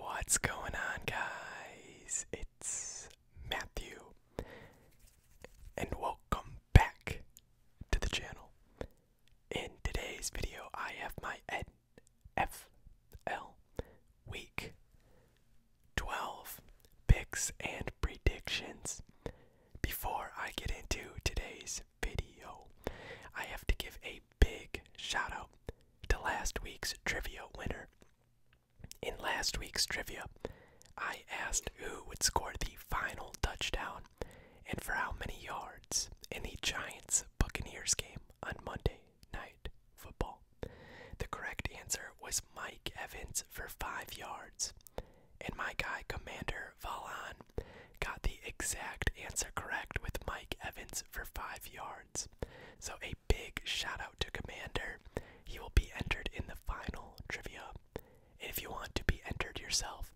What's going on, guys? It's Matthew, and welcome back to the channel. In today's video, I have my NFL Week 12 picks and predictions. Before I get into today's video, I have to give a big shout out to last week's trivia winner. In last week's trivia, I asked who would score the final touchdown and for how many yards in the Giants Buccaneers game on Monday Night Football. The correct answer was Mike Evans for five yards, and my guy Commander Valon got the exact answer correct with Mike Evans for five yards. So a big shout out to Commander. He will be entered in the final trivia. And if you want to be entered yourself,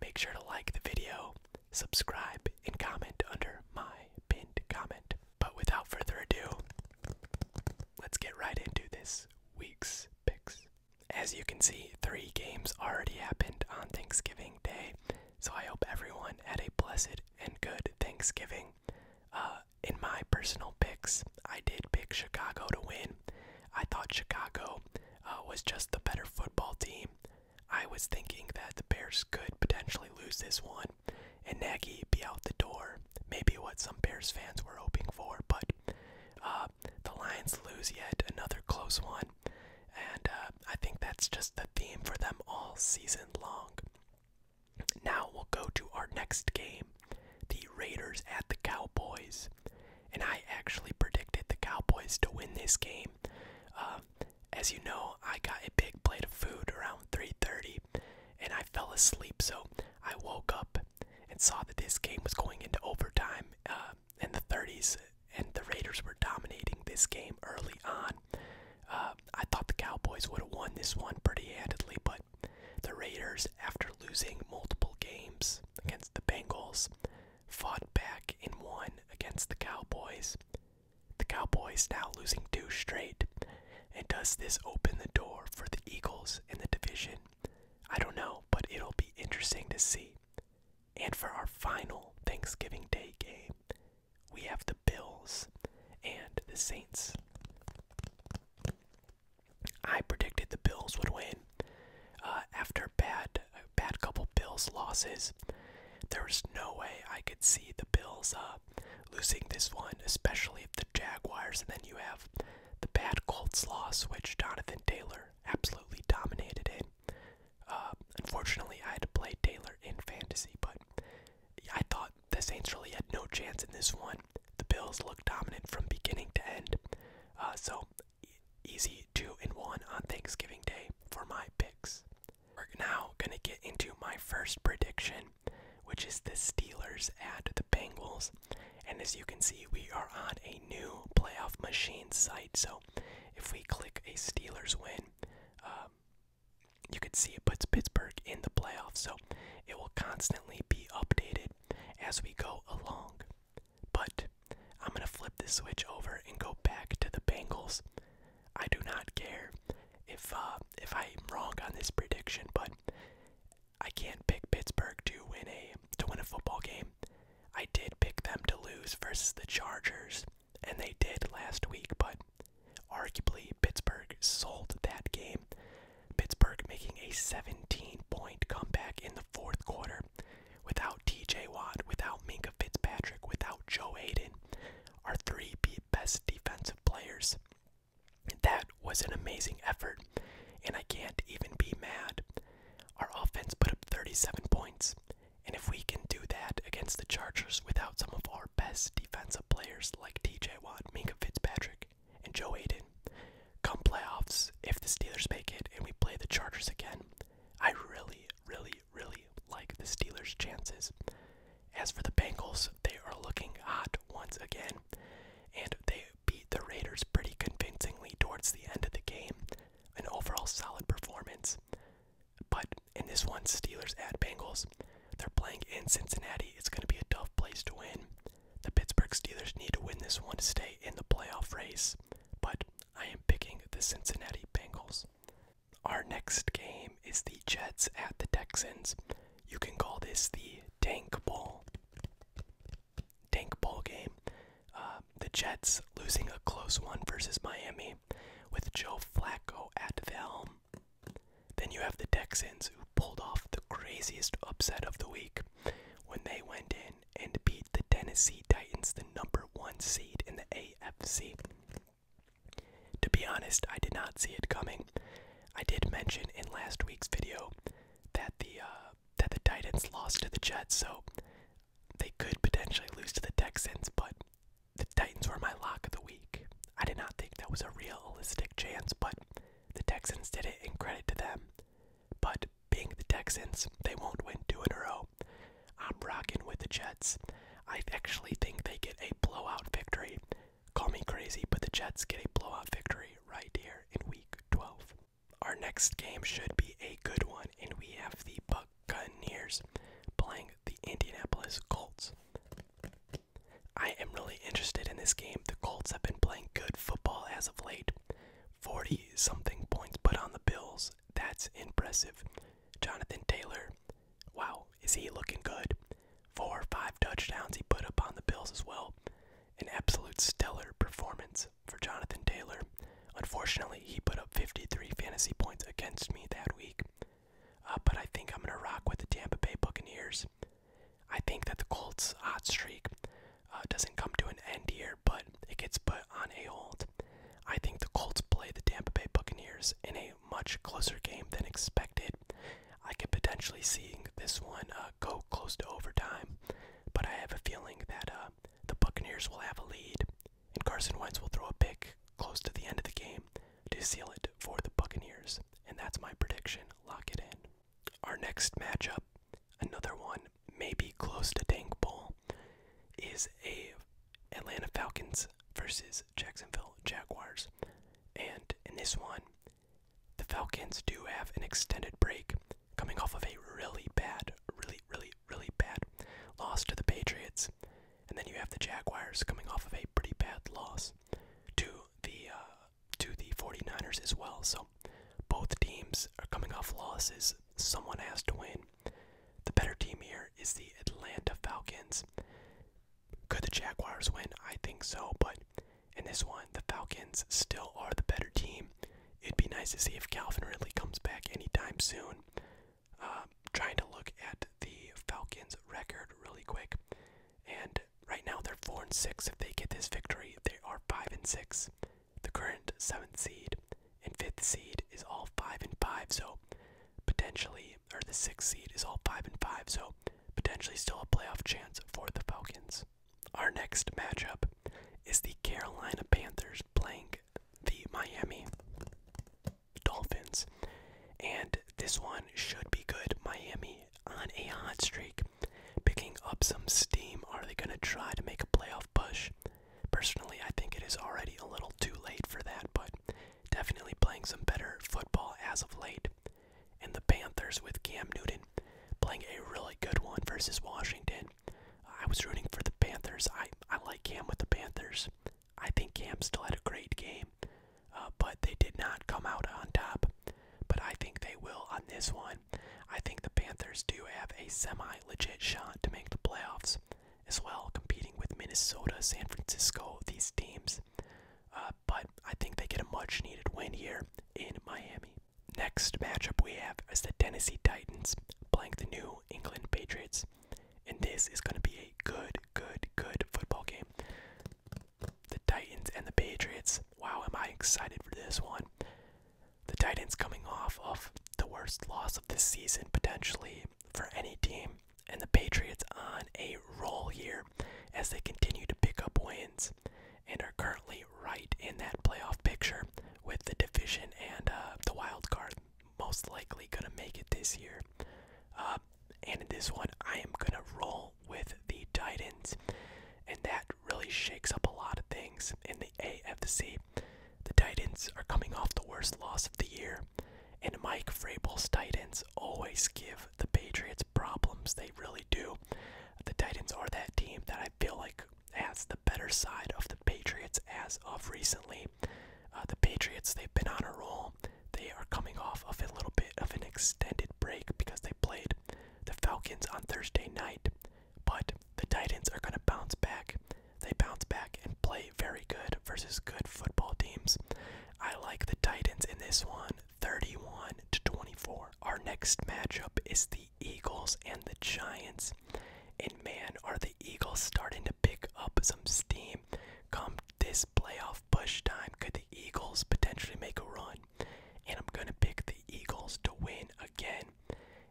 make sure to like the video, subscribe, and comment under my pinned comment. But without further ado, let's get right into this week's picks. As you can see, three games already happened on Thanksgiving Day, so I hope everyone had a blessed and good Thanksgiving. Uh, in my personal picks, I did pick Chicago to win. I thought Chicago uh, was just the better football team. I was thinking that the Bears could potentially lose this one and Nagy be out the door. Maybe what some Bears fans were hoping for, but uh, the Lions lose yet another close one. And uh, I think that's just the theme for them all season long. Now we'll go to our next game the Raiders at the Cowboys. And I actually predicted the Cowboys to win this game. Um, as you know, I got a big plate of food around 3:30, and I fell asleep. So I woke up and saw that this game was going into overtime uh, in the 30s, and the Raiders were dominating this game early on. Uh, I thought the Cowboys would have won this one pretty handedly, but the Raiders, after losing multiple games against the Bengals, fought back and won against the Cowboys. The Cowboys now losing two straight. And does this open the door for the Eagles in the division? I don't know, but it'll be interesting to see. And for our final Thanksgiving Day game, we have the Bills and the Saints. I predicted the Bills would win. Uh, after bad, bad couple Bills losses, there was no way I could see the Bills uh, losing this one, especially if the Jaguars. And then you have the bad Colts loss, which Jonathan Taylor absolutely dominated in. Uh, unfortunately, I had to play Taylor in fantasy, but I thought the Saints really had no chance in this one. The Bills looked dominant from beginning to end. Uh, so easy two and one on Thanksgiving Day for my picks. We're now gonna get into my first prediction, which is the Steelers at the Bengals. And as you can see, we are on a new playoff machine site. So if we click a Steelers win, um, you can see it puts Pittsburgh in the playoffs, so it will constantly be updated as we go along. But I'm going to flip this switch over and go back to the Bengals. I do not care if uh, if I'm wrong on this prediction, but I can't pick Pittsburgh to win a to win a football game. I did pick them to lose versus the Chargers, and they did last week, but arguably Pittsburgh sold that game. Pittsburgh making a 17 point comeback in the fourth quarter without TJ Watt, without Minka Fitzpatrick, without Joe Hayden, our three best defensive players. That was an amazing effort, and I can't even be mad. Our offense put up 37 points. And if we can do that against the Chargers without some of our best defensive players like TJ Watt, Minka Fitzpatrick, and Joe Aiden, come playoffs, if the Steelers make it and we play the Chargers again, I really, really, really like the Steelers' chances. As for the Bengals, they are looking hot once again, and they beat the Raiders pretty convincingly towards the end of the game. An overall solid performance. But in this one, Steelers at Bengals, they're playing in Cincinnati. It's going to be a tough place to win. The Pittsburgh Steelers need to win this one to stay in the playoff race, but I am picking the Cincinnati Bengals. Our next game is the Jets at the Texans. You can call this the Tank Bowl. Tank Bowl game. Uh, the Jets losing a close one versus Miami with Joe Flacco at the helm. Then you have the Texans who pulled off the craziest upset of the week when they went in and beat the Tennessee Titans, the number one seed in the AFC. To be honest, I did not see it coming. I did mention in last week's video that the uh, that the Titans lost to the Jets, so they could potentially lose to the Texans, but the Titans were my lock of the week. I did not think that was a realistic chance, but the Texans did it, and credit to them. But being the Texans, they won't win two in a row. I'm rocking with the Jets. I actually think they get a blowout victory. Call me crazy, but the Jets get a blowout victory right here in week 12. Our next game should be a good one, and we have the Buccaneers playing the Indianapolis Colts. I am really interested in this game. The Colts have been playing good football as of late. 40 something points put on the Bills. That's impressive. Jonathan Taylor, wow, is he looking good? Four or five touchdowns he put up on the Bills as well. An absolute stellar performance for Jonathan Taylor. Unfortunately, he put up 53 fantasy points against me that week. Uh, but I think I'm going to rock with the Tampa Bay Buccaneers. I think that the Colts' hot streak uh, doesn't come to an end here, but it gets put on a hold. I think the Colts play the Tampa Bay Buccaneers in a much closer game than expected. I could potentially see this one uh, go close to overtime, but I have a feeling that the Buccaneers will have a lead, and Carson Wentz will throw a pick close to the end of the game to seal it for the Buccaneers. And that's my prediction. Lock it in. Our next matchup, another one maybe close to Tank Bowl, is a Atlanta Falcons versus Jacksonville Jaguars. And in this one, the Falcons do have an extended break coming off of a really bad, really, really, really bad loss to the Patriots, and then you have the Jaguars coming off of a pretty bad loss to the uh, to the 49ers as well. So both teams are coming off losses. Someone has to win. The better team here is the Atlanta Falcons. Could the Jaguars win? I think so, but in this one, the Falcons still are the better team it'd be nice to see if Calvin really comes back anytime soon. Uh, trying to look at the Falcons' record really quick, and right now they're four and six. If they get this victory, they are five and six. The current seventh seed and fifth seed is all five and five, so potentially, or the sixth seed is all five and five, so potentially still a playoff chance for the Falcons. Our next matchup is the Carolina Panthers playing the Miami Dolphins. And this one should be good. Miami on a hot streak, picking up some steam. Are they going to try to make a playoff push? Personally, I think it is already a little too late for that, but definitely playing some better football as of late. And the Panthers with Cam Newton playing a really good one versus Washington. I was rooting for the Panthers. I, I like Cam with the Panthers. I think Cam still had a great game, uh, but they did not come out on top. But I think they will on this one. I think the Panthers do have a semi legit shot to make the playoffs as well, competing with Minnesota, San Francisco, these teams. Uh, but I think they get a much needed win here in Miami. Next matchup we have is the Tennessee Titans playing the New England Patriots. And this is going to be a good, good, good football game. The Titans and the Patriots. Wow, am I excited for this one. The Titans coming off of the worst loss of this season, potentially, for any team. And the Patriots on a roll here as they continue to pick up wins and are currently right in that playoff picture with the division and uh, the wild card most likely gonna make it this year. Uh, and in this one, I am gonna roll with the Titans, and that really shakes up a lot of things in the AFC. The Titans are coming off the worst loss of the year, and Mike Vrabel's Titans always give the Patriots problems. They really do. The Titans are that team that I feel like as the better side of the Patriots as of recently. Uh, the Patriots, they've been on a roll. They are coming off of a little bit of an extended break because they played the Falcons on Thursday night. But the Titans are going to bounce back. They bounce back and play very good versus good football teams. I like the Titans in this one 31 to 24. Our next matchup is the the Eagles and the Giants. And man, are the Eagles starting to pick up some steam come this playoff push time? Could the Eagles potentially make a run? And I'm going to pick the Eagles to win again.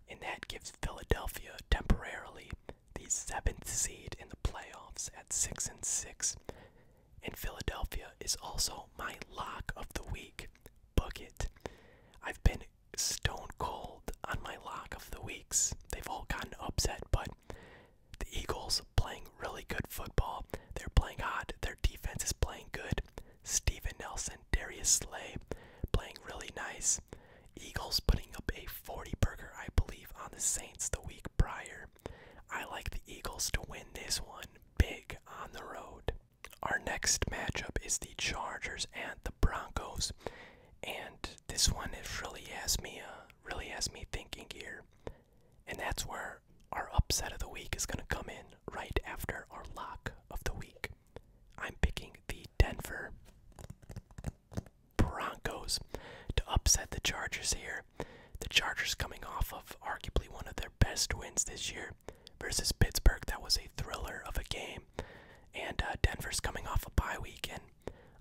And that gives Philadelphia temporarily the seventh seed in the playoffs at 6 and 6. And Philadelphia is also my lock of the week. Book it. I've been stone cold on my lock of the weeks. They've all gotten upset, but the Eagles playing really good football. They're playing hot. Their defense is playing good. Stephen Nelson, Darius Slay playing really nice. Eagles putting up a 40 burger, I believe, on the Saints the week prior. I like the Eagles to win this one big on the road. Our next matchup is the Chargers and the Broncos, and this one it really has me, uh, really has me thinking here, and that's where our upset of the week is going to come in right after our lock of the week. I'm picking the Denver Broncos to upset the Chargers here. The Chargers coming off of arguably one of their best wins this year versus Pittsburgh. That was a thriller of a game. And uh, Denver's coming off a bye week, and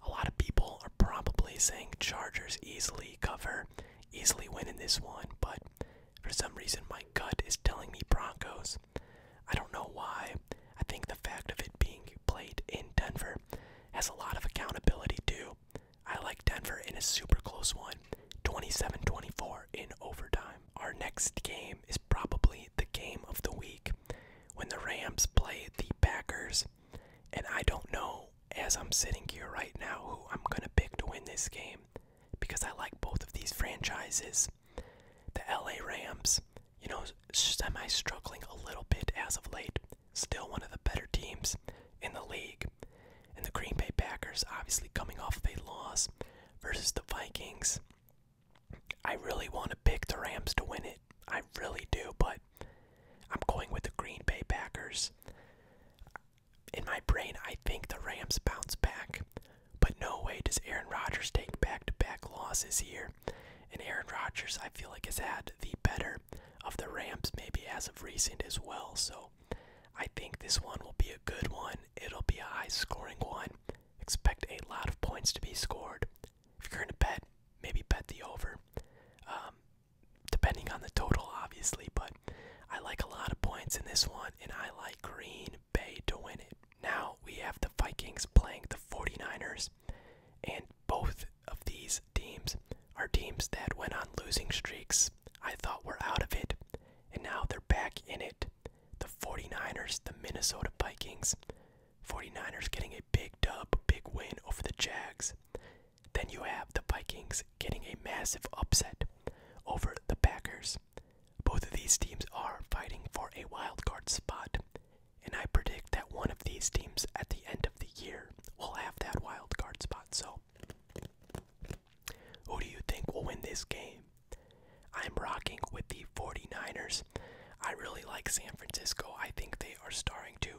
a lot of people are probably saying Chargers easily cover, easily win in this one. But for some reason, my gut is telling me Broncos. I don't know why. I think the fact of it being played in Denver has a lot of accountability, too. I like Denver in a super close one 27 24 in overtime. Our next game is probably the game of the week when the Rams play the Packers. And I don't know, as I'm sitting here right now, who I'm going to pick to win this game because I like both of these franchises. The LA Rams, you know, semi struggling a little bit as of late, still one of the better teams in the league. And the Green Bay Packers, obviously coming off of a loss versus the Vikings. I really want to pick the Rams to win it. I really do, but I'm going with the Green Bay Packers. In my brain, I think the Rams bounce back, but no way does Aaron Rodgers take back to back losses here. And Aaron Rodgers, I feel like, has had the better of the Rams maybe as of recent as well. So I think this one will be a good one. It'll be a high scoring one. Expect a lot of points to be scored. If you're going to bet, maybe bet the over. Um, depending on the total, obviously, but I like a lot of points in this one, and I like Green Bay to win it. Now we have the Vikings playing the 49ers, and both of these teams are teams that went on losing streaks. I thought were out of it, and now they're back in it. The 49ers, the Minnesota Vikings. 49ers getting a big dub, big win over the Jags. Then you have the Vikings getting a massive upset over the Packers. Both of these teams are fighting for a wild card spot, and I predict that one of these teams at the end of the year will have that wild card spot. So who do you think will win this game? I'm rocking with the 49ers. I really like San Francisco. I think they are starting to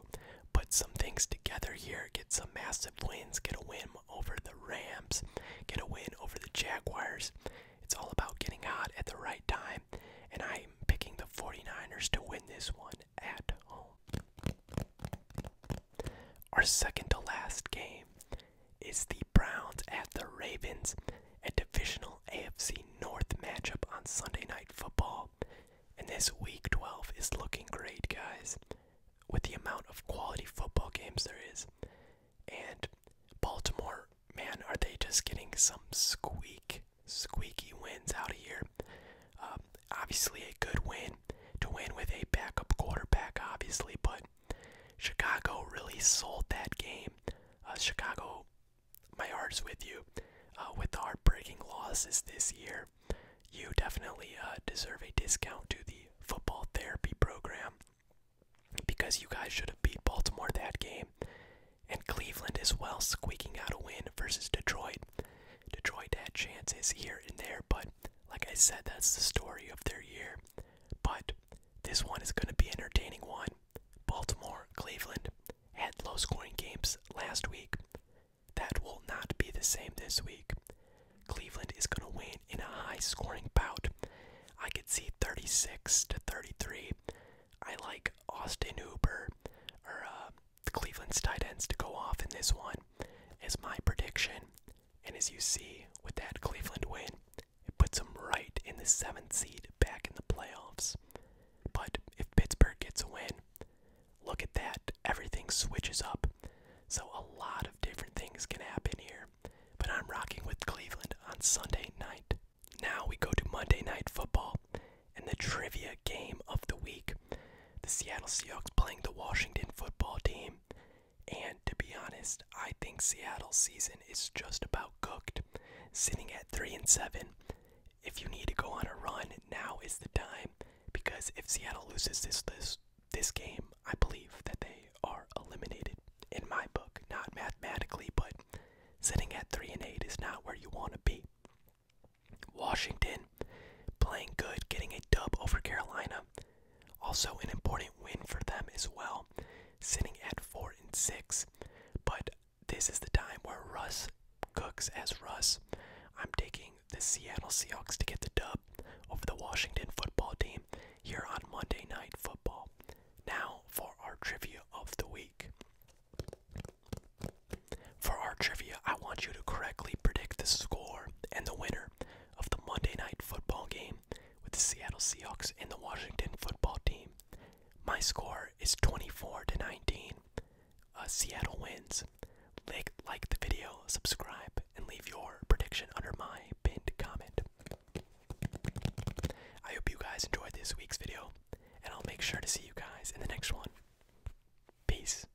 put some things together here, get some massive wins, get a win over the Rams, get a win over the Jaguars. It's all about getting hot at the right time, and I'm picking the 49ers to win this one at home. Our second to last game is the Browns at the Ravens, a divisional AFC North matchup on Sunday Night Football. And this week 12 is looking great, guys, with the amount of quality football games there is. And Baltimore, man, are they just getting some squeak, squeaky wins out of here? Um, obviously, a good win to win with a backup quarterback, obviously, but Chicago really sold that game. Uh, Chicago, my heart's with you. Uh, with the heartbreaking losses this year, you definitely uh, deserve a discount to the football therapy program because you guys should have beat Baltimore that game. And Cleveland as well, squeaking out a win versus Detroit. Detroit had chances here and there, but like I said, that's the story of their year. But this one is going to be an entertaining one. Baltimore, Cleveland had low scoring games last week. That will not be the same this week. Cleveland is going to win in a high scoring bout. I could see 36 to 33. I like Austin Hooper or uh, Cleveland's tight ends to go off in this one, is my prediction. And as you see, with that Cleveland win, it puts them right in the seventh seed back in the playoffs. But if Pittsburgh gets a win, look at that. Everything switches up. So a lot of different things can happen here. But I'm rocking with Cleveland on Sunday night. Now we go to Monday Night Football and the trivia game of the week. The Seattle Seahawks playing the Washington football team. And to be honest, I think Seattle's season is just about cooked. Sitting at 3 and 7, if you need to go on a run, now is the time because if Seattle loses this this game, I believe that they are eliminated in my book, not mathematically, but sitting at 3 and 8 is not where you want to be. Washington Playing good, getting a dub over Carolina. Also an important win for them as well, sitting at four and six. But this is the time where Russ cooks as Russ. I'm taking the Seattle Seahawks to get the dub over the Washington football team here on Monday Night Football. Now for our trivia of the week. For our trivia, I want you to correctly predict the score and the winner of the Monday night football game with the Seattle Seahawks and the Washington football team. My score is 24 to 19. Uh, Seattle wins. Like, like the video, subscribe, and leave your prediction under my pinned comment. I hope you guys enjoyed this week's video, and I'll make sure to see you guys in the next one. Peace.